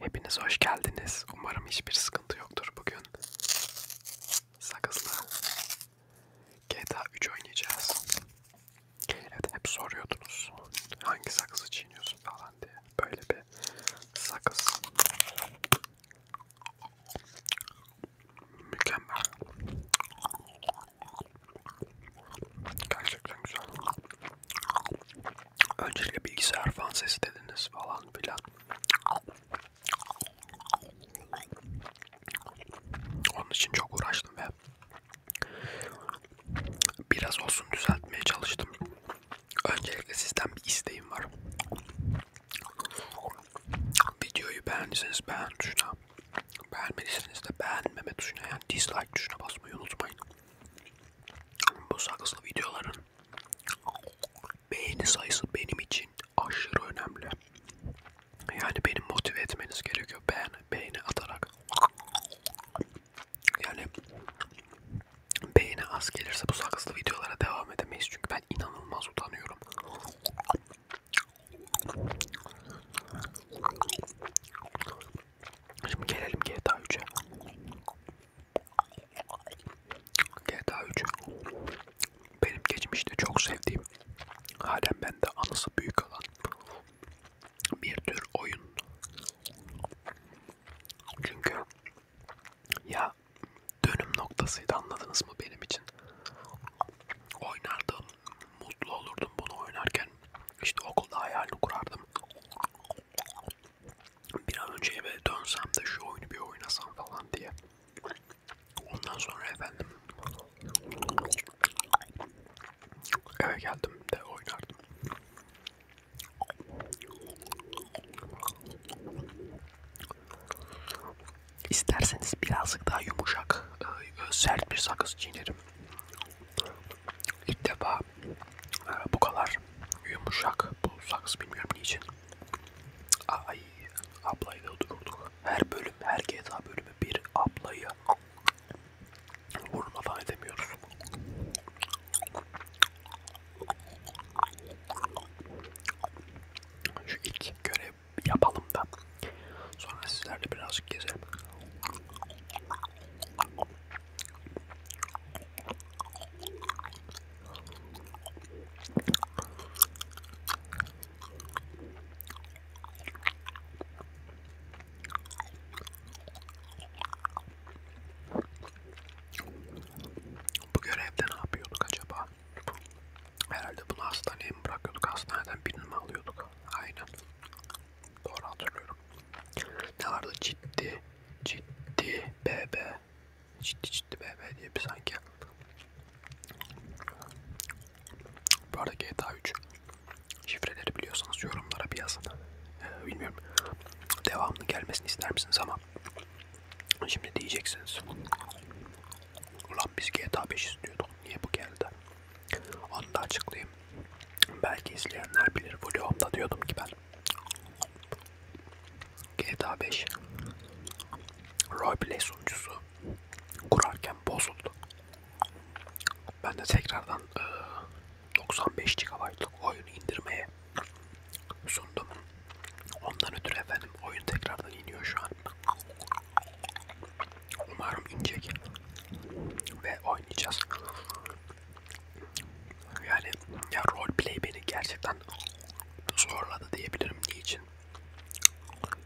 Hepiniz hoş geldiniz. Umarım hiçbir sıkıntı yoktur bugün. Sakızla GTA 3 oynayacağız. Evet hep soruyordunuz. Hangi sakızı çiğniyorsun falan diye. Böyle bir sakız. Mükemmel. Gerçekten güzel. Öncelikle bilgisayar fan sesi dediniz falan filan. Onun için çok uğraştım ve biraz olsun düzeltmeye çalıştım. Öncelikle sizden bir isteğim var. Videoyu beğendiyseniz beğen tuşuna, beğenmediyseniz de beğenmeme tuşuna yani dislike tuşuna basmayı unutmayın. Bu sakızlı videoların beğeni sayısı benim için aşırı önemli. Yani beni motive etmeniz gerekiyor beğen, beğeni atarak. Yani beğeni az gelirse bu sakızlı videolara devam edemeyiz çünkü ben inanılmaz utanıyorum. Şimdi gelelim GTA 3'e. GTA 3 benim geçmişte çok sevdiğim, halen bende anısı büyük olan bir tür oyun. Çünkü ya dönüm noktasıydı anladınız mı benim için? Oynardım, mutlu olurdum bunu oynarken. İşte okulda hayalini kurardım bir an önce eve dönsem de şu oyunu bir oynasam falan diye. Ondan sonra efendim eve geldim de oynardım. İsterseniz birazcık daha yumuşak, e, sert bir sakız çiğnerim. İlk defa ee, bu kadar yumuşak bu saksı bilmiyorum niçin. Ay ablayla dururduk. Her bölüm, her GTA bölümü bir ablayı vurma falan edemiyoruz. Şu ilk görev yapalım da sonra sizlerle birazcık gezelim. Bu görevde ne yapıyorduk acaba? Herhalde bunu hastaneye mi bırakıyorduk? Hastaneden birini mi alıyorduk? Aynen. Doğru hatırlıyorum. Ne vardı ciddi, ciddi bebe, ciddi ciddi bebe diye bir sanki. Bu arada GTA 3 şifreleri biliyorsanız yorumlara bir yazın. Ee, bilmiyorum devamlı gelmesini ister misiniz ama şimdi diyeceksiniz. Ulan biz GTA 5 istiyorduk. Niye bu geldi? Onu da açıklayayım. Belki izleyenler bilir. Vlogumda diyordum ki ben GTA 5 roleplay sunucusu kurarken bozuldu. Ben de tekrardan e, 95 GB'lık oyunu indirmeye sundum. Ondan ötürü efendim oyun tekrardan iniyor şu an. Umarım inecek ve oynayacağız. Yani ya roleplay beni gerçekten zorladı diyebilirim niçin.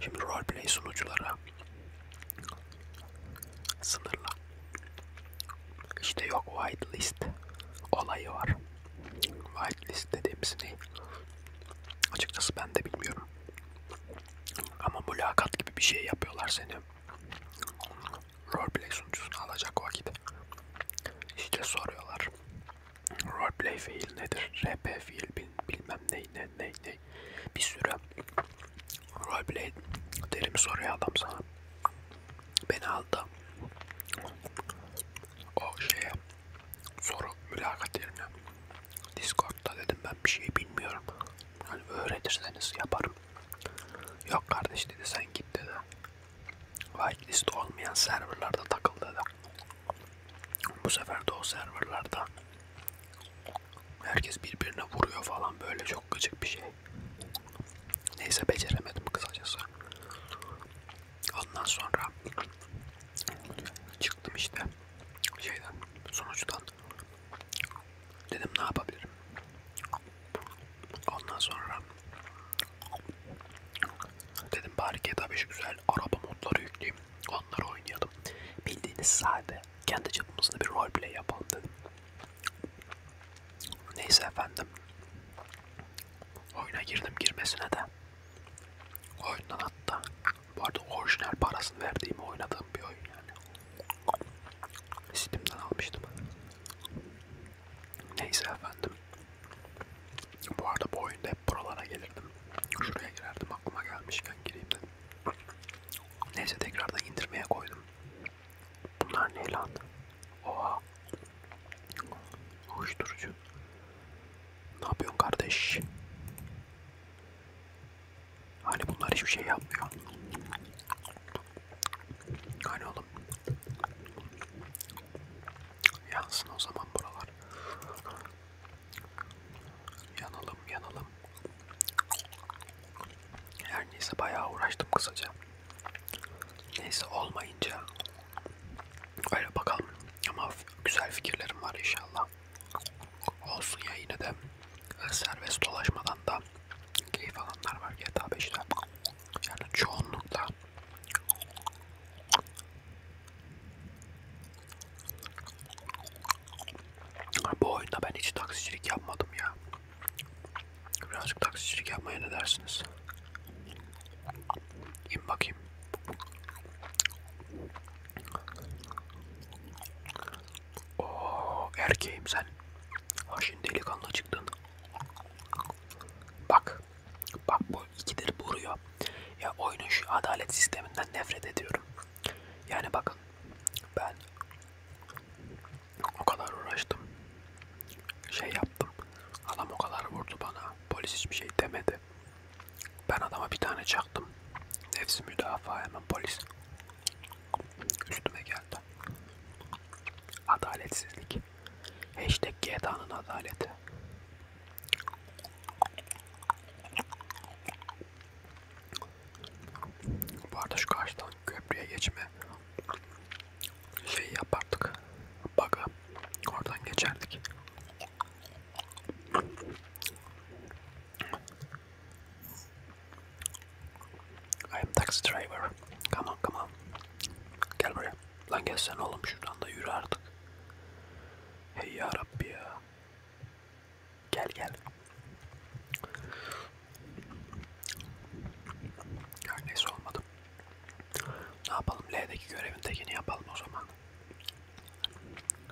Şimdi roleplay sunuculara sınırlı. İşte yok whitelist olayı var. Whitelist dediğimiz ne? Açıkçası ben de bilmiyorum. Ama mülakat gibi bir şey yapıyorlar seni. Roleplay sunucusunu alacak vakit. İşte soruyorlar. Roleplay fiil nedir? RP fiil bilmem ne ne ne ne. Bir sürü roleplay terimi soruyor adam sana. Beni aldı. O şeye soru mülakat yerine. Discord'da dedim ben bir şey bilmiyorum. Hani öğretirseniz yaparım. Yok kardeş dedi sen git dedi. Whitelist olmayan serverlarda takıl dedi. Bu sefer de o serverlarda herkes birbirine vuruyor falan böyle çok gıcık bir şey. Neyse beceremedim kısacası. Ondan sonra çıktım işte şeyden sonuçtan Dedim ne yapabilirim? Ondan sonra dedim bari GTA 5 güzel araba modları yükleyeyim. Onları oynayalım. Bildiğiniz sade. Kendi çapımızda bir roleplay yapalım dedim. Neyse efendim. Oyuna girdim girmesine de. Oyundan hatta bu arada orijinal parasını verdiğimi oynadığım bir oyun yani. Steam'den almıştım. Neyse efendim. Bu arada bu oyunda hep buralara gelirdim. Şuraya girerdim aklıma gelmişken gireyim dedim. Neyse tekrardan indirmeye koydum. Bunlar ne lan? Oha. Uyuşturucu. Ne yapıyorsun kardeş? Hani bunlar hiçbir şey yapmıyor. Hani oğlum. Yansın o zaman buralar. Yanalım yanalım. Her neyse bayağı uğraştım kısaca. Neyse olmayınca öyle bakalım. Ama güzel fikirlerim var inşallah. Olsun ya yine de serbest dolaşmadan da keyif alanlar var GTA 5'te. Yani çoğunlukla. Bu oyunda ben hiç taksicilik yapmadım ya. Birazcık taksicilik yapmaya ne dersiniz? İn bakayım. Oo, erkeğim sen. Ha şimdi delikanlı çıktın. Bak. Bak bu ikidir vuruyor. Ya oyunun şu adalet sisteminden nefret ediyorum. Yani bakın ben o kadar uğraştım. Şey yaptım. Adam o kadar vurdu bana. Polis hiçbir şey demedi abi. Ben adama bir tane çaktım. Nefsi müdafaa hemen polis. Üstüme geldi. Adaletsizlik. Hashtag GTA'nın adaleti. Bu arada şu karşıdan köprüye geçme şeyi yapardık. Bug'ı. Oradan geçerdik. I am taxi driver. Come on, come on. Gel buraya. Lan gelsene oğlum şuradan da yürü artık. Hey ya Rabbi ya. Gel gel. Her neyse olmadı. Ne yapalım? L'deki görevin tekini yapalım o zaman.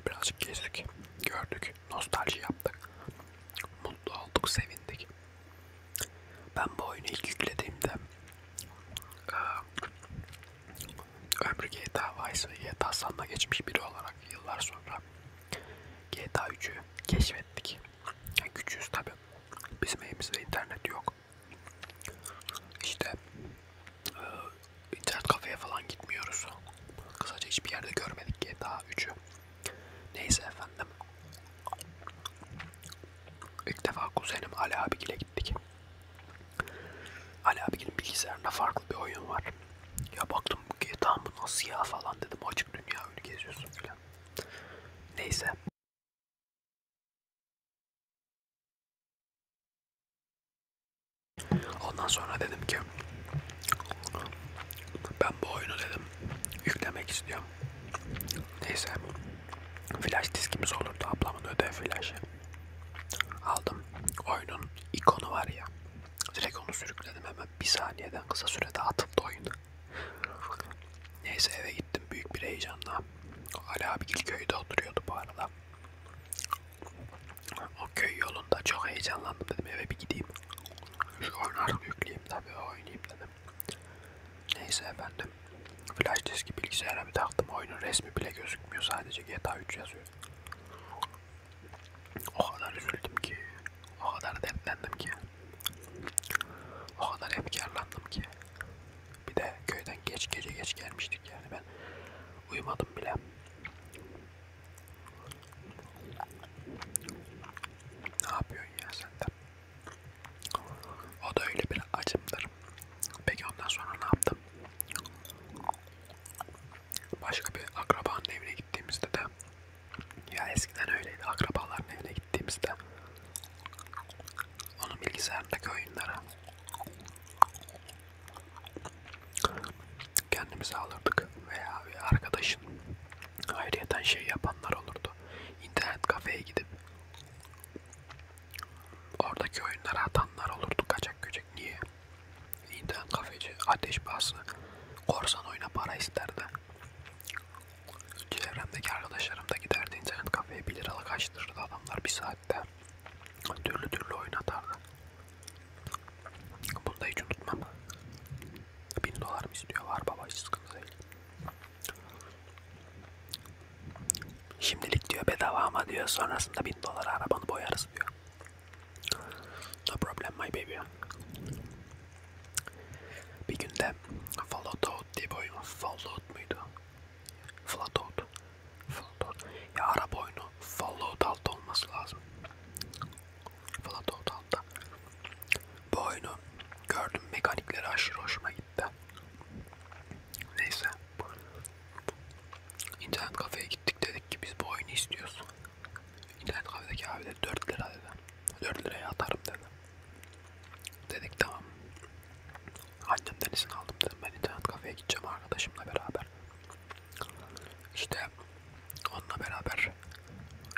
Birazcık gezdik, gördük, nostalji yaptık. Mutlu olduk, sevindik. Ben bu oyunu ilk yüklediğimde e, ömrü GTA Vice ve GTA San'da geçmiş biri olarak yıllar sonra GTA 3'ü keşfettik. Yani küçüğüz tabi. Bizim evimizde internet yok. İşte e, internet kafeye falan gitmiyoruz. Kısaca hiçbir yerde görmedik GTA 3'ü. Neyse efendim. İlk defa kuzenim Ali abigile gittik. Ali abigilin bilgisayarında farklı bir oyun var. Ya baktım GTA bu nasıl ya falan dedim. Açık dünya öyle geziyorsun filan. Neyse. Ondan sonra dedim ki ben bu oyunu dedim yüklemek istiyorum. Neyse flash diskimiz olurdu ablamın ödev flash'ı. Aldım. Oyunun ikonu var ya. Direkt onu sürükledim hemen bir saniyeden kısa sürede atıldı oyun. Neyse eve gittim büyük bir heyecanla. Ali abi Gilköy'de oturuyordu bu arada. O köy yolunda çok heyecanlandım dedim eve bir gideyim. Şu oyunu yükleyeyim tabii oynayayım dedim. Neyse efendim. Flash diski bilgisayara bir taktım. Oyunun resmi bile gözükmüyor. Sadece GTA 3 yazıyor. O kadar üzüldüm ki. O kadar dertlendim ki. O kadar efkarlandım ki. Bir de köyden geç gece geç gelmiştik yani ben Uyumadım bile. Ne yapıyorsun ya sen de? O da öyle bir acımdır. Peki ondan sonra ne yaptım? Başka bir akrabanın evine gittiğimizde de ya eskiden öyleydi akrabaların evine gittiğimizde onun bilgisayarındaki oyunlara kendimize alırdık veya bir arkadaşın ayrıyeten şey yapanlar olurdu. İnternet kafeye gidip oradaki oyunlara atanlar olurdu kaçak göçek. Niye? İnternet kafeci ateş bası korsan oyuna para isterdi. Çevremdeki arkadaşlarım da giderdi internet kafeye 1 liralık açtırırdı adamlar bir saat hatta. Türlü türlü oynatardı. Bunu da hiç unutmam. 1000 dolar mı istiyor? Var baba hiç sıkıntı değil. Şimdilik diyor bedava ama diyor sonrasında 1000 dolara arabanı boyarız diyor. No problem my baby. Bir günde Fallout diye bir oyun Fallout muydu? Flatout. Flatout. Ya Arap oyunu Fallout altı olması lazım. Flatout altta. Bu oyunu gördüm mekanikleri aşırı hoşuma gitti. Neyse. İnternet kafeye gittik dedik ki biz bu oyunu istiyoruz. İnternet kafedeki abi de 4 lira dedi. 4 liraya atarım dedi. Dedik tamam. Annemden izin aldım dedim ben internet kafeye gideceğim arkadaşımla beraber. İşte onunla beraber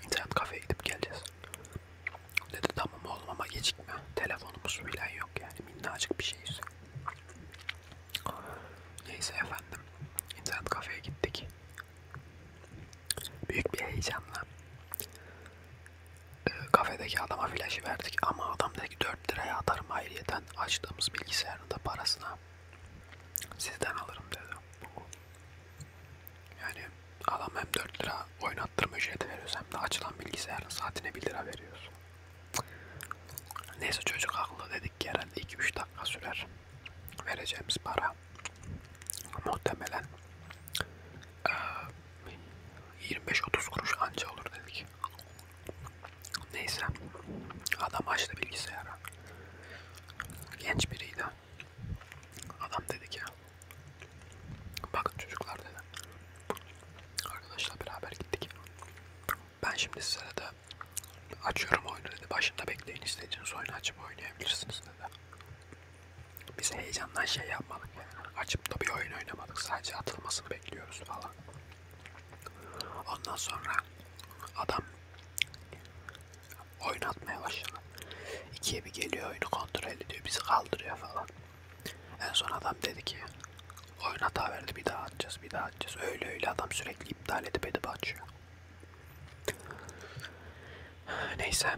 internet kafeye gidip geleceğiz. Dedi tamam oğlum ama gecikme. Telefonumuz bile yok yani minnacık bir şeyiz. Neyse efendim internet kafeye gittik. Büyük bir heyecanla e, kafedeki adama flaşı verdik ama adam dedi ki 4 liraya atarım hayriyeten açtığımız bilgisayarın da parasına sizden alırım dedi. Yani adam hem 4 lira oynattırma ücreti veriyoruz hem de açılan bilgisayarın saatine 1 lira veriyoruz. Neyse çocuk haklı dedik ki herhalde 2-3 dakika sürer vereceğimiz para. Muhtemelen e, 25-30 kuruş anca olur dedik. Neyse. Adam açtı bilgisayarı. Genç biriydi. Adam dedi ki bakın çocuklar dedi. Arkadaşla beraber gittik. Ben şimdi size de açıyorum oyunu dedi. Başında bekleyin istediğiniz oyunu açıp oynayabilirsiniz dedi. Biz heyecandan şey yapmadık açıp da bir oyun oynamadık. Sadece atılmasını bekliyoruz falan. Ondan sonra adam oyun atmaya başladı. İkiye bir geliyor oyunu kontrol ediyor. Bizi kaldırıyor falan. En son adam dedi ki oyun hata verdi bir daha atacağız bir daha atacağız. Öyle öyle adam sürekli iptal edip edip açıyor. Neyse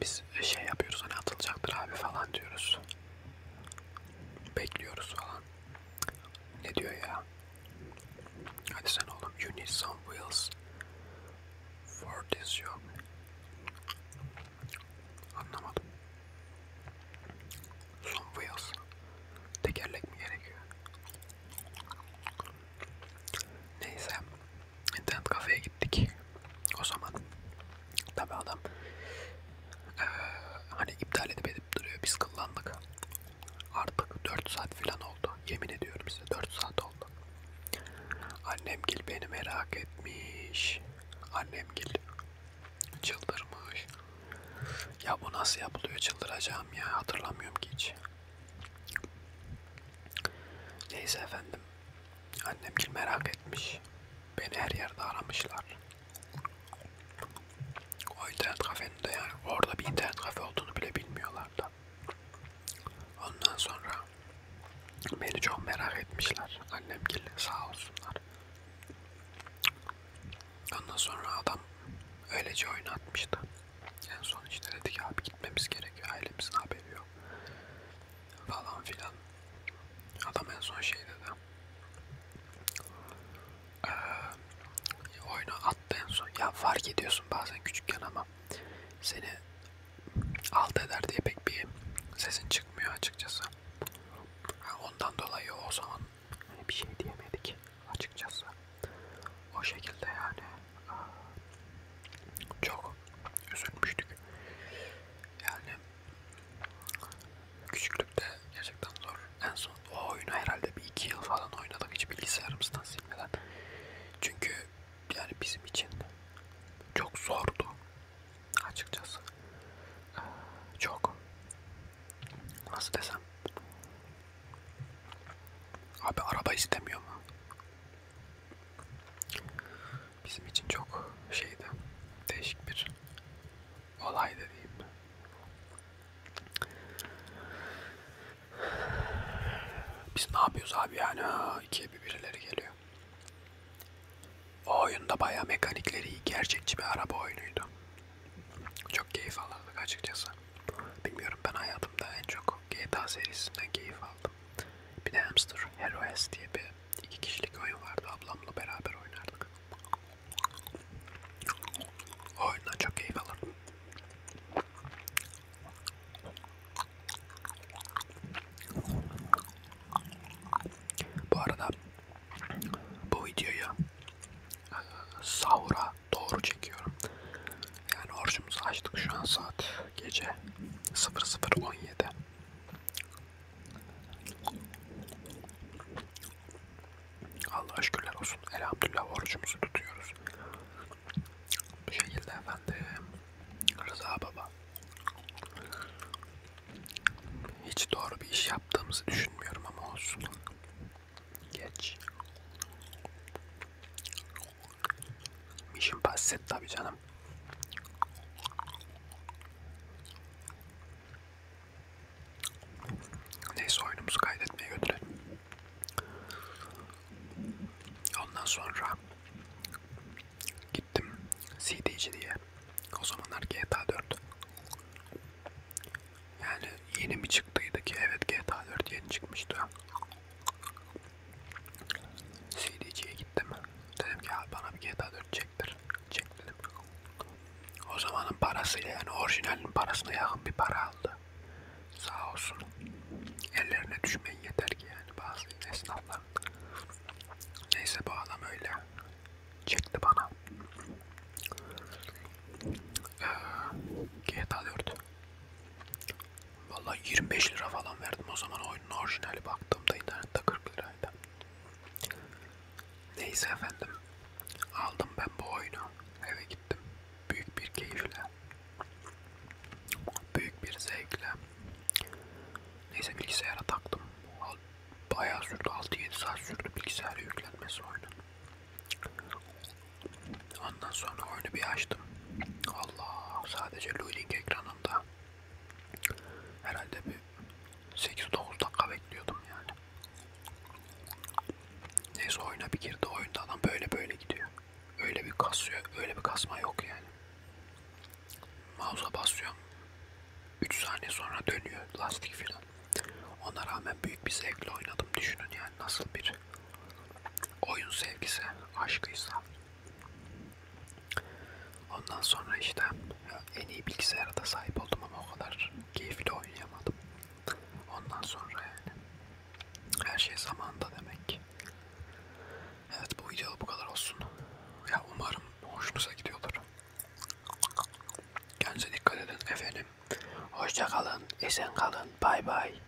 biz şey yapıyoruz hani atılacaktır abi falan diyoruz. Bekliyoruz falan. Ne diyor ya? Hadi sen oğlum you need some wheels for this job. Anlamadım. Some wheels. Tekerlek mi gerekiyor? Neyse. İnternet kafeye gittik. O zaman tabi adam e, hani iptal edip edip duruyor. Biz kıllandık. Artık 4 saat filan oldu. Yemin ediyorum size 4 saat oldu. Annemgil beni merak etmiş. Annemgil çıldırmış. Ya bu nasıl yapılıyor çıldıracağım ya hatırlamıyorum ki hiç. Neyse efendim. Annemgil merak etmiş. Beni her yerde aramışlar. O internet kafenin de yani orada bir internet kafe olduğunu bile bilmiyorlardı. Ondan sonra beni çok merak etmişler. Annem geldi sağ olsunlar. Ondan sonra adam öylece oynatmıştı. En son işte dedi ki abi gitmemiz gerekiyor. Ailemizin haberi yok falan filan. Adam en son şey dedi. Ee, oyunu attı en son. Ya fark ediyorsun bazen küçükken ama seni alt eder diye pek bir sesin çıkmıyor açıkçası. Ondan dolayı o zaman hani bir şey diyemedik açıkçası. O şekilde yani çok üzülmüştük. Yani küçüklükte gerçekten zor. En son o oyunu herhalde bir iki yıl falan oynadık hiç bilgisayarımızdan silmeden. Çünkü yani bizim için çok zordu açıkçası. Ee, çok. Nasıl desem? Abi araba istemiyor mu? bizim için çok şeydi, değişik bir olay da diyeyim. Biz ne yapıyoruz abi yani? Ha, ikiye bir birileri geliyor. O oyunda bayağı mekanikleri iyi, gerçekçi bir araba oyunuydu. Çok keyif alırdık açıkçası. Bilmiyorum ben hayatımda en çok GTA serisinden keyif aldım. Bir de Hamster Heroes diye bir iki kişilik oyun vardı. Ablamla beraber oynardık. O oyundan çok keyif alırdım. Bu arada bu videoyu e, sahura doğru çekiyorum. Yani orucumuzu açtık şu an saat gece 00.17 Allah şükürler olsun elhamdülillah orucumuzu tutuyoruz bu şekilde efendim Rıza Baba hiç doğru bir iş yaptığımızı düşünmüyorum ama olsun geç Mission Passet tabi canım. Neyse oyunumuzu kaydetmeye götürelim. Ondan sonra gittim CD'ci diye. O zamanlar GTA 4. Yani yeni mi çıktıydı ki? Evet GTA 4 yeni çıkmıştı. CD'ciye gittim. Dedim ki abi bana bir GTA 4 çektir. Çek dedim. O zamanın parasıyla yani orijinalin parasına yakın bir para aldı. Sağ olsun. Ellerine düşmeyin yeter ki yani bazı esnaflar. Neyse bu adam öyle çekti bana. Ee, GTA 4. Vallahi 25 lira falan verdim o zaman oyunun orijinali baktığımda internette 40 liraydı. Neyse efendim. Aldım ben bu oyunu. Eve gittim. Büyük bir keyifle. Büyük bir zevkle. Neyse bilgisayara taktım. Bayağı sürdü. 6-7 saat sürdü bilgisayara yüklenmesi oyunun. Ondan sonra oyunu bir açtım. Allah sadece Luling ekranında herhalde bir 8-9 dakika bekliyordum yani. Neyse oyuna bir girdi oyunda adam böyle böyle gidiyor. Öyle bir kasıyor, öyle bir kasma yok yani. Mouse'a basıyorum. 3 saniye sonra dönüyor lastik filan. Ona rağmen büyük bir zevkle oynadım düşünün yani nasıl bir oyun sevgisi, aşkıysa ondan sonra işte en iyi bilgisayara da sahip oldum ama o kadar keyifli oynayamadım. Ondan sonra yani her şey zamanda demek. Evet bu video bu kadar olsun. Ya umarım hoşunuza gidiyordur. Kendinize dikkat edin efendim. Hoşça kalın, esen kalın, bay bay.